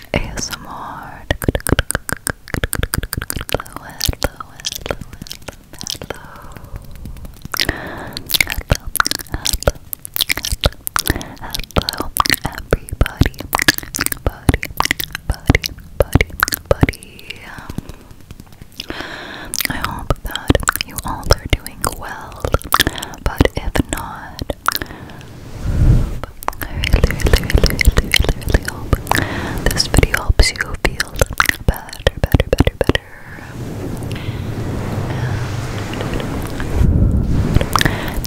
ASMR. Hello, hello, hello, hello, hello, hello, hello, hello, everybody, buddy, buddy, buddy, buddy. I hope that you all are doing well, but if not, I really, really, really, really, really hope this video helps you feel better, better, better, better.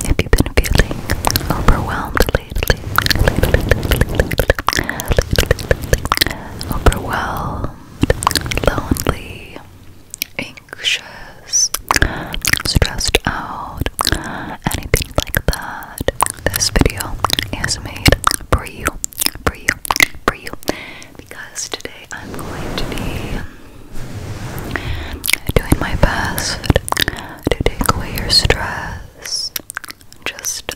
if you've been feeling overwhelmed lately, overwhelmed, lonely, anxious, stressed out, anything like that, this video is made for you, for you, for you, because today I'm going to be doing my best to take away your stress, just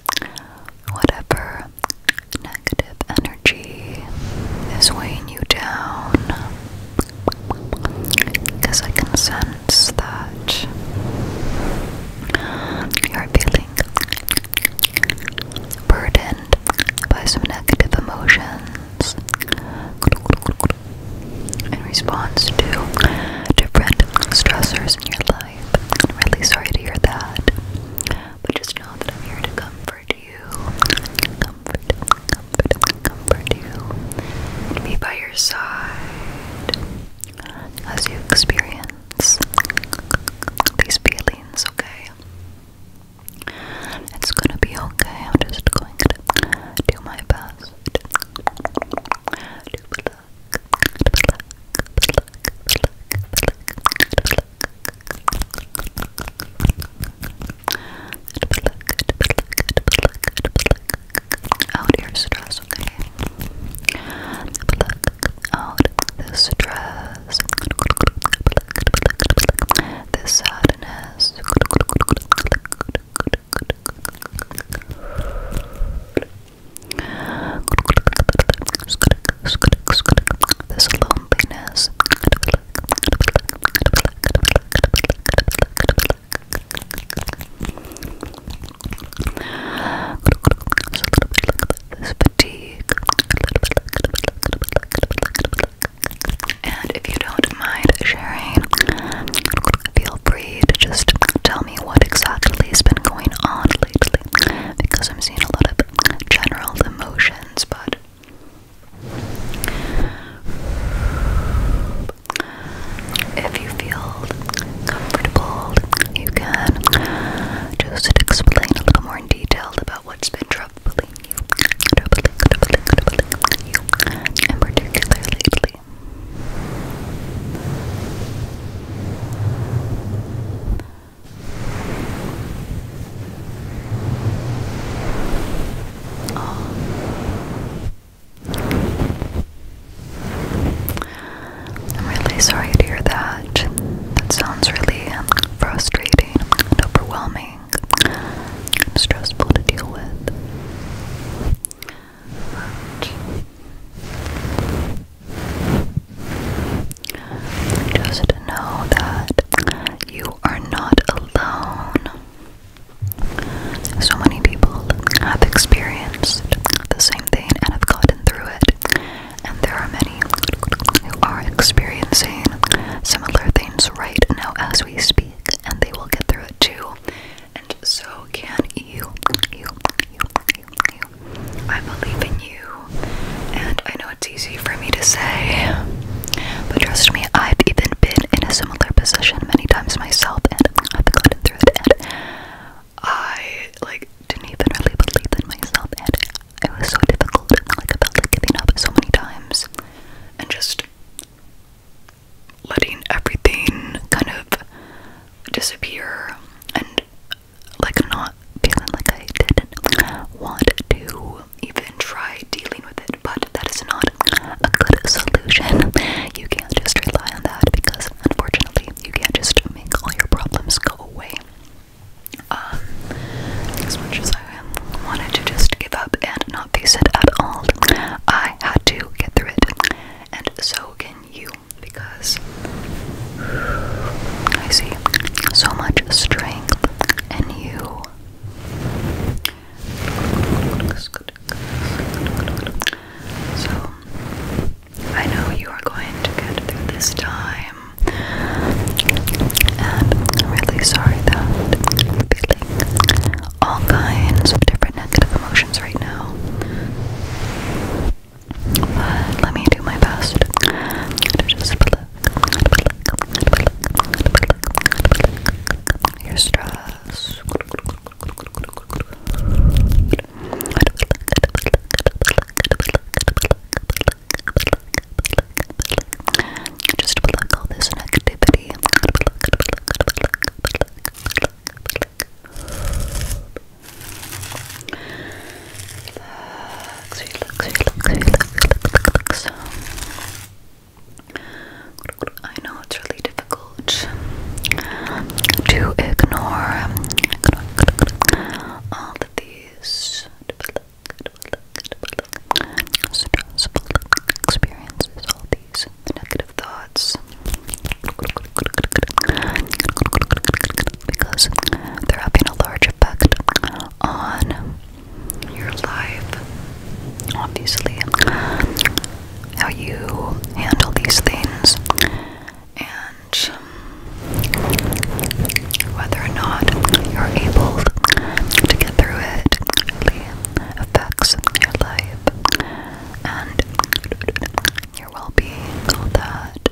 whatever negative energy is weighing you down. Because I can sense that you're feeling burdened by some negative emotions in response to different stressors in your life. I'm really sorry to hear that. But just know that I'm here to comfort you comfort comfort you. Be by your side as you experience these feelings, okay? It's gonna be okay. I'm just going to do my best. Out your stress, okay? Pluck out the stress, the sadness. This loneliness this And if you don't mind sharing, feel free to just tell me what exactly has been going on lately because I'm seeing a lot of general emotions, but if you feel comfortable, you can just explain a little more in about what's been troubling you, troubling, troubling, lately. I'm really sorry to hear that. That sounds really frustrating and overwhelming and stressful to deal with. just know that you are not alone. So many people have experienced the same thing and have gotten through it, and there are many who are experiencing similar things right now as we speak, and they will get through it too. And so can you. I believe in you, and I know it's easy for me to say, but trust me, I've even been in a similar position many times myself, and I've gotten through it. And I like didn't even really believe in myself, and it was so difficult. Like I felt giving up so many times, and just letting everything kind of disappear, and like not feeling like I didn't want to even try dealing with it, but that is not a good solution. You can't just rely on that because, unfortunately, you can't just make all your problems go away. Um, as much as I wanted to just give up and not face it at all, I had to get through it, and so can you because I see so much strength in you. Good, good, so, I know you are going to get through this time, and I'm really sorry that you're feeling all kinds of different negative emotions right now. But let me do my best to just pluck, pluck, your stress just pluck all this negativity. Relax, relax, relax, relax, relax. I know it's really difficult to ignore all of these stressful experiences, all these negative thoughts, because they're having a large effect on your life, obviously how you handle these things and um, whether or not you're able to get through it really affects your life and your well-being, all that.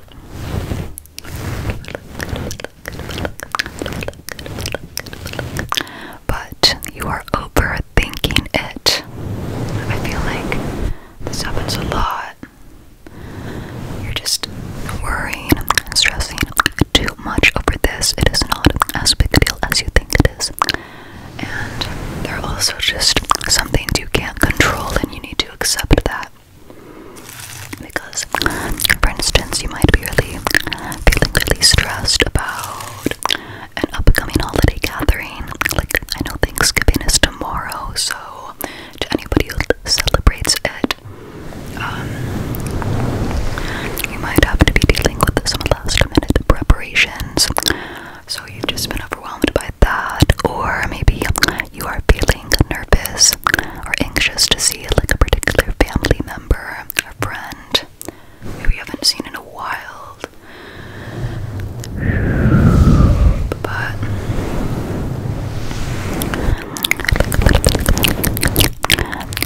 But you are over Thinking it. I feel like this happens a lot. You're just worrying and stressing too much over this. It is not as big a deal as you think it is. And there are also just some things you can't control, and you need to accept that. Because, for instance, you might be really feeling really stressed about an upcoming holiday gathering. Like, I know Thanksgiving is tomorrow, so to anybody who celebrates it, um, you might have to be dealing with some last minute preparations. So you've just been overwhelmed by that, or maybe you are feeling nervous or anxious to see like a particular family member or friend we haven't seen in a while. But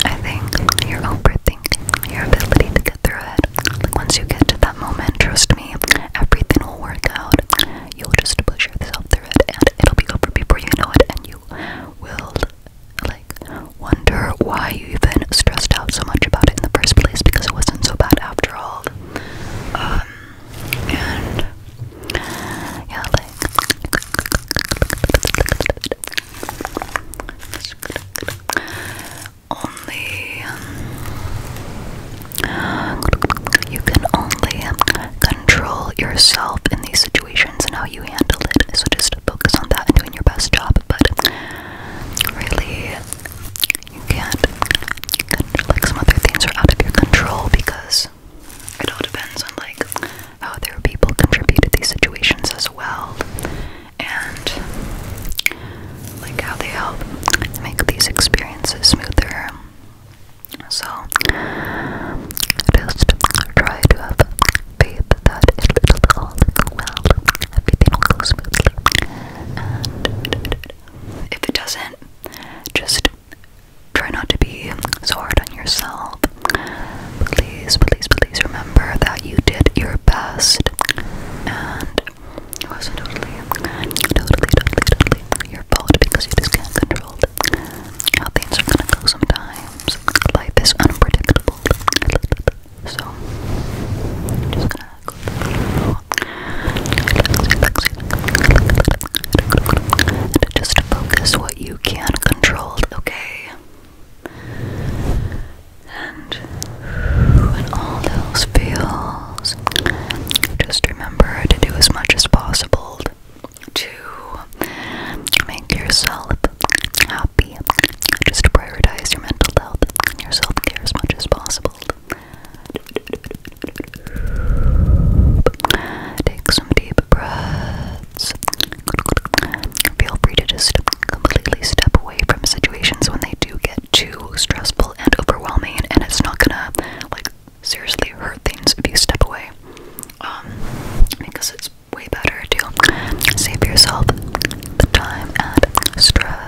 I think you're overthinking your ability to get through it. once you get to that moment, trust me, everything will work out. You'll just push yourself through it, and it'll be over before you know it, and you will like wonder why you even stressed out so much about it in the first place because it wasn't so bad after all. Um, and yeah, like only you can only control yourself in these situations and how you handle it. So just focus on that and doing your best job. But really you can't like some other things are out of your control because it all depends on like how other people contribute to these situations as well and like how they help make these experiences smoother. So just try to have faith hope that it will all go well. Everything will go smoothly. if it doesn't, just try not to be so hard on yourself. Please, please, please remember that you did your best. And it wasn't totally, totally, totally, totally your fault because you just can't control how things are gonna go sometimes. Life is unpredictable. So just gonna go just focus what you can control, okay? And when all those feels, just remember to do as much as possible to make yourself happy. Just prioritize your mental health and your self care as much as possible. Take some deep breaths. Feel free to just completely step away from situations when they do get too stressful and overwhelming, and it's not gonna like seriously hurt things if you step away. Um, because it's way better to save yourself the time and stress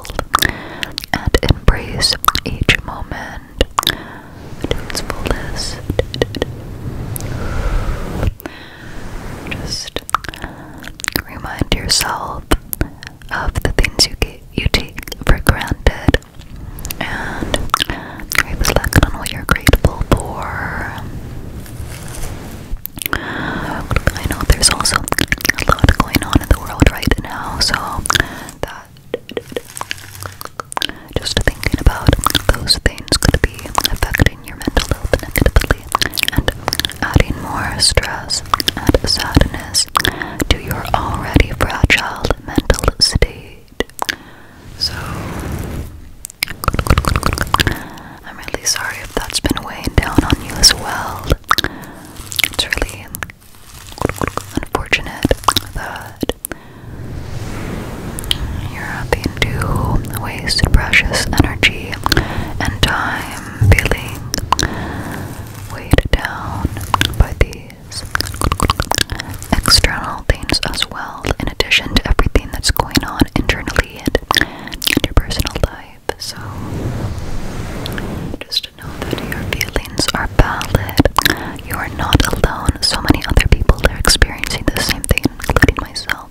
and embrace each moment to its fullest. Just remind yourself of the things you get, you take for granted, and reflect on what you're grateful for. I know there's also a lot going on in the world right now, so just thinking about those things could be affecting your mental health negatively and adding more stress and sadness to your already fragile mental state. So, I'm really sorry if that's been weighing down on you as well. It's really unfortunate that you're having to waste precious energy and time feeling weighed down by these external things as well, in addition to everything that's going on internally and in your personal life. So just know that your feelings are valid. You are not alone. So many other people are experiencing the same thing, including myself.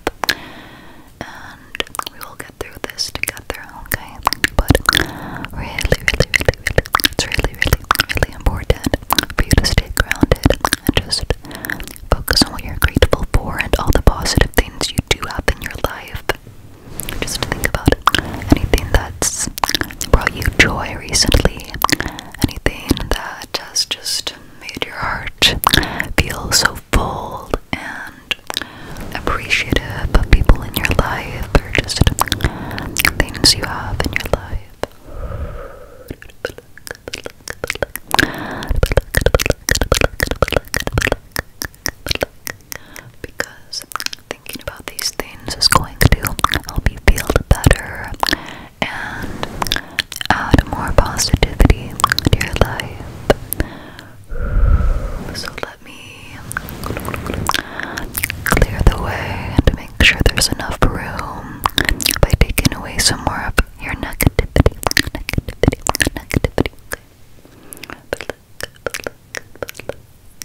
And we will get through this together, okay? But really, really, really, really, it's really, really, really important for you to stay grounded and just focus on what you're grateful for and all the positive things you do have in your life. Just think about anything that's brought you joy recently, anything that has just made your heart feel so full and appreciative of people in your life, or just things you have in your life because thinking about these things is going to help you feel better and add more positivity to your life. So let me clear the way and make sure there's enough room by taking away some more of your negativity.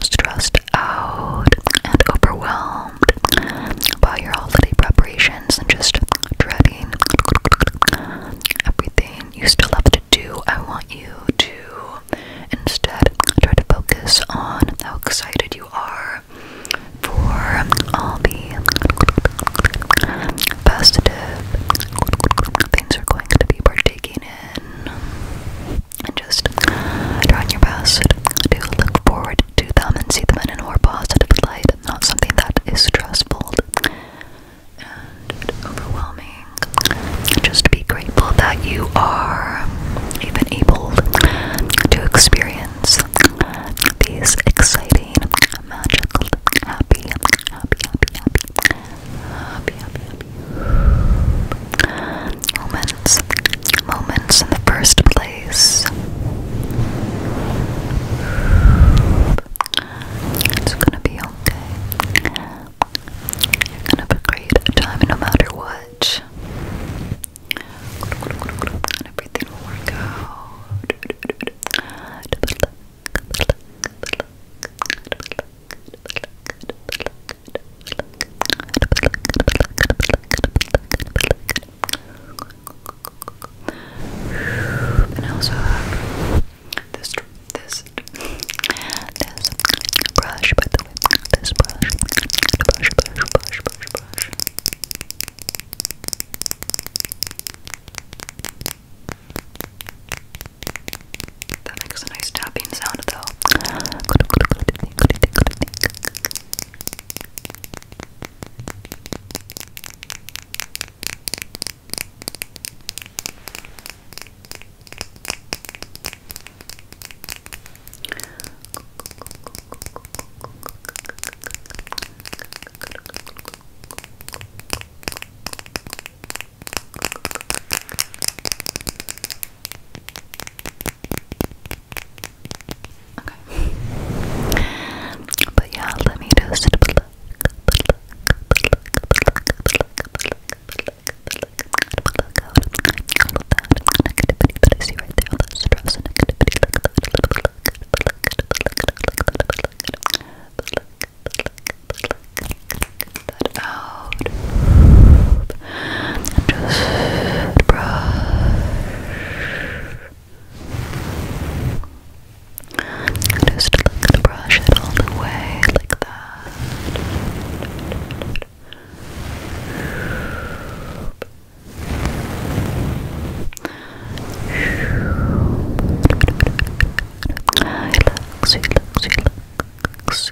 stressed out and overwhelmed by your holiday preparations and just dreading everything you still have to do, I want you to instead try to focus on how excited you are for all the festive things you're going to be partaking in and just trying your best to look forward to them and see them in a more positive light, not something that is stressful and overwhelming. Just be grateful that you are even able to experience these exciting, magical, happy, happy, happy, happy, happy, happy, happy, Moments. Moments in the first place. It's gonna be okay. You're gonna have a great time no matter what. And everything will work out. And I also have this this this brush, by the way, this brush, brush, brush, brush, brush, brush. That makes a nice tapping sound though. Okay. But yeah, let me just pluck, pluck, out. just brush. Just the brush it all the way like that. Relax, relax, relax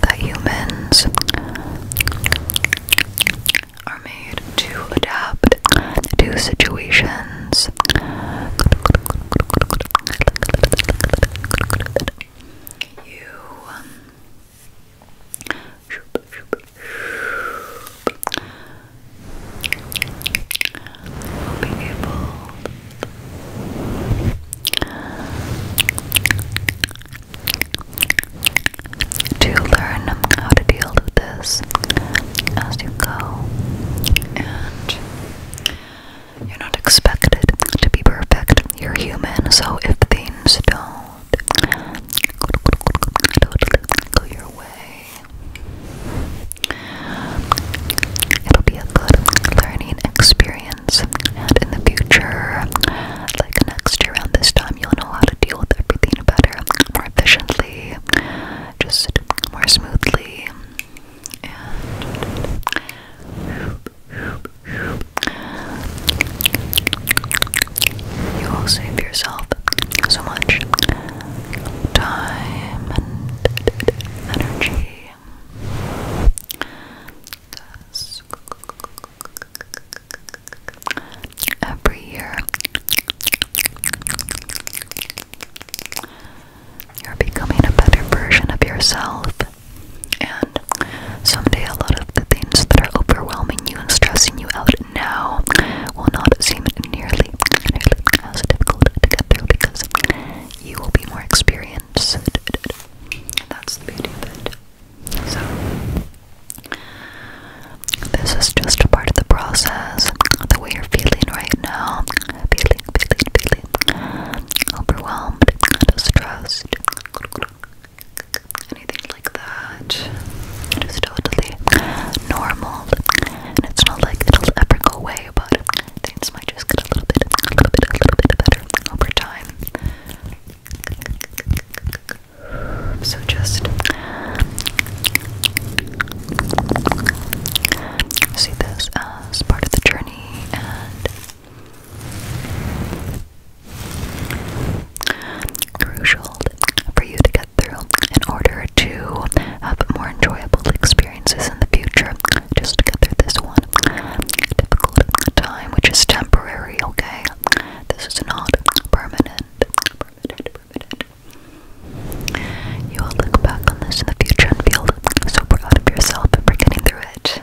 that humans are made to adapt to situations you um, to learn how to deal with this as you go, and you're not expected to be perfect. You're human, so if things don't go your way, it'll be a good learning experience and in the future, like next year around this time, you'll know how to deal with everything better, more efficiently, just more smoothly. And you will save yourself so much time and energy every year. You're becoming a better version of yourself, and someday a lot of the things that are overwhelming you and stressing you out now will not seem nearly, nearly as difficult to get through because you will be more experienced that's the beauty of it. So, this is just a part of the process. The way you're feeling right now, feeling, feeling, feeling overwhelmed, distressed, anything like that. It is totally normal, and it's not like it'll ever go away, but Things might just get a little bit, a little bit, a little bit better over time. So just see this as part of the journey and crucial for you to get through in order to have more enjoyable experiences in the future just get through this one difficult time, which is temporary, okay? This is not permanent, permanent, permanent. You will look back on this in the future and feel so proud of yourself for getting through it.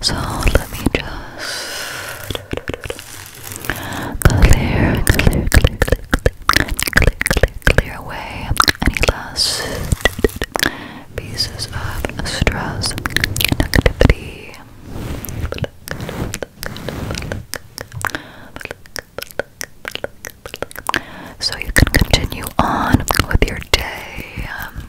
So let me just clear, clear, clear, clear, clear, clear, clear, away any last pieces of stress, negativity. So you can continue on with your day, um,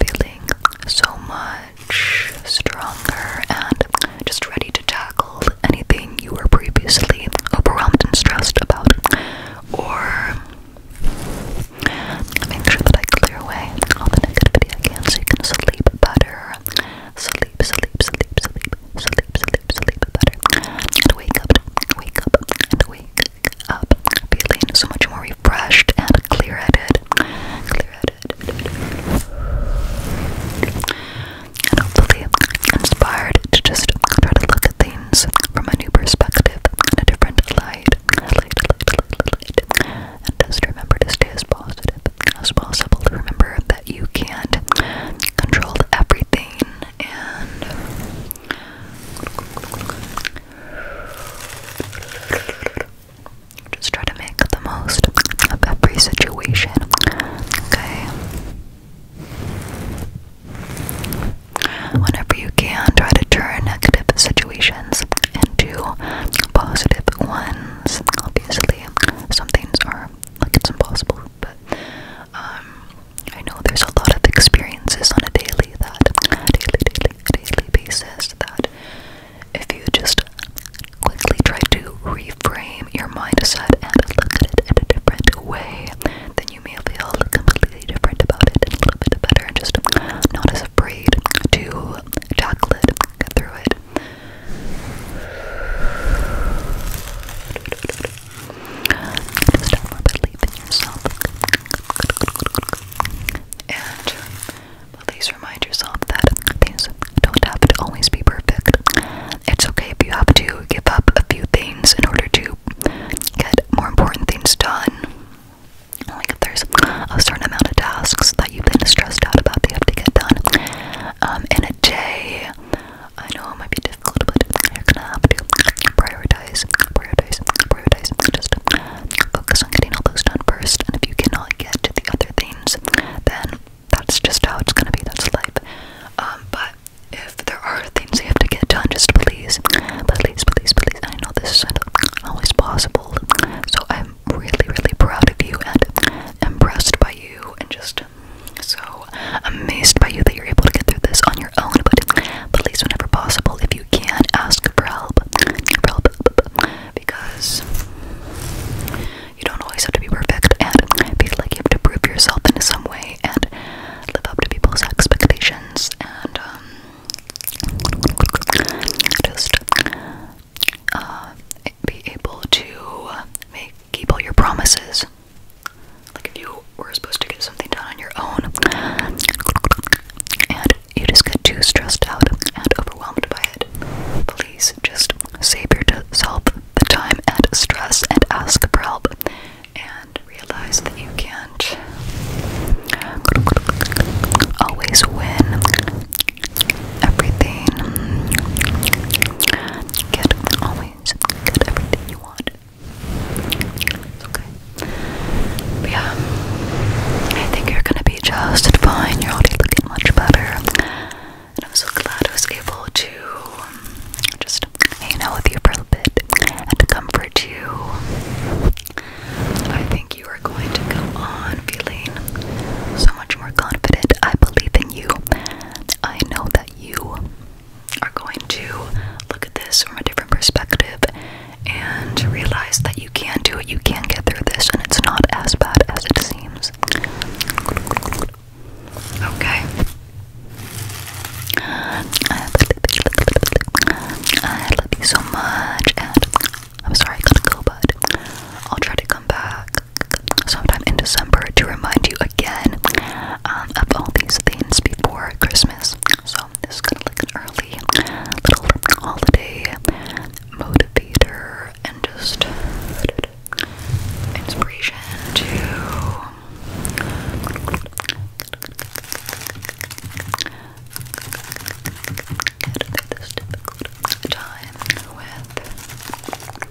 feeling so much stronger and just ready to tackle anything you were previously overwhelmed and stressed about. Or make sure that I clear away all the negativity I so you can sleep better Sleep, sleep, sleep, sleep, sleep, sleep, sleep better. And wake up, wake up, and wake up. Feeling so much more refreshed and clear headed. Clear headed. And hopefully inspired to just try to look at things from a new perspective and a different light. Light, light, light, light, light. And just remember to stay as positive as possible. Remember that that you can't control everything and just try to make the most of every situation. Okay. Whenever you can, try to turn negative situations into positive ones. Obviously, some things are like it's impossible group. Um, I know there's a lot of experiences on a daily that daily, daily, daily basis that if you just quickly try to reframe your mindset and look at it in a different way, then you may feel completely different about it a little bit better and just not as afraid to tackle it, through it. Just a little bit believe in yourself. And please remind yourself that things don't have to always be perfect. It's okay if you have to give up a few things in order to get more important things done. Like if there's a certain amount of tasks that you've been stressed out about that you have to get done um, in a day, I know it might be difficult, but you're gonna have to prioritize, prioritize, prioritize. Just focus on getting all those done first. And if you cannot get to the other things, then that's just how it's gonna be. That's life. Um, but if there are things you have to get done, just please, please, please, please. I know this isn't always possible, so I'm really, really proud of you and impressed by you, and just so amazed by you that you're able to get through this on your own, but please, whenever possible, if you can, not ask for help. For help because you don't always have to be perfect and feel like you have to prove yourself in some way and live up to people's expectations and um, just uh, be able to keep all your promises like if you were supposed to get something done on your own, and you just get too stressed out and overwhelmed by it, please just save yourself the time and stress and ask for help and realize that you can't always win everything get everything you want. It's okay. yeah, I think you're gonna be just fine. You're already looking much better. And I'm so glad I was able to um, just hang out with you a bit and comfort you. I think you are going to go on feeling so much more confident. I believe in you. I know that you are going to look at this from a different perspective and realize that you can do it, you can get through this, and it's not as bad as it seems. Okay. I love you so much, and I'm sorry I gotta go, but I'll try to come back sometime in December to remind you again um, of all these things before Christmas. So this is kind of like an early little holiday motivator and just inspiration to get through this difficult time with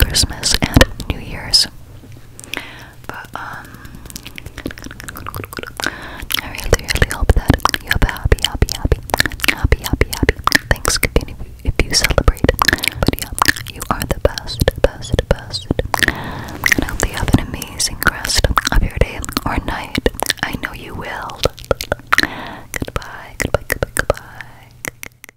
Christmas and New Year's. But um I really really hope that you have a happy, happy, happy, happy, happy, happy Thanksgiving if you celebrate. But yeah, you are the best, best, best. And I hope that have an amazing rest of your day or night. I know you will. Goodbye, goodbye, goodbye, goodbye.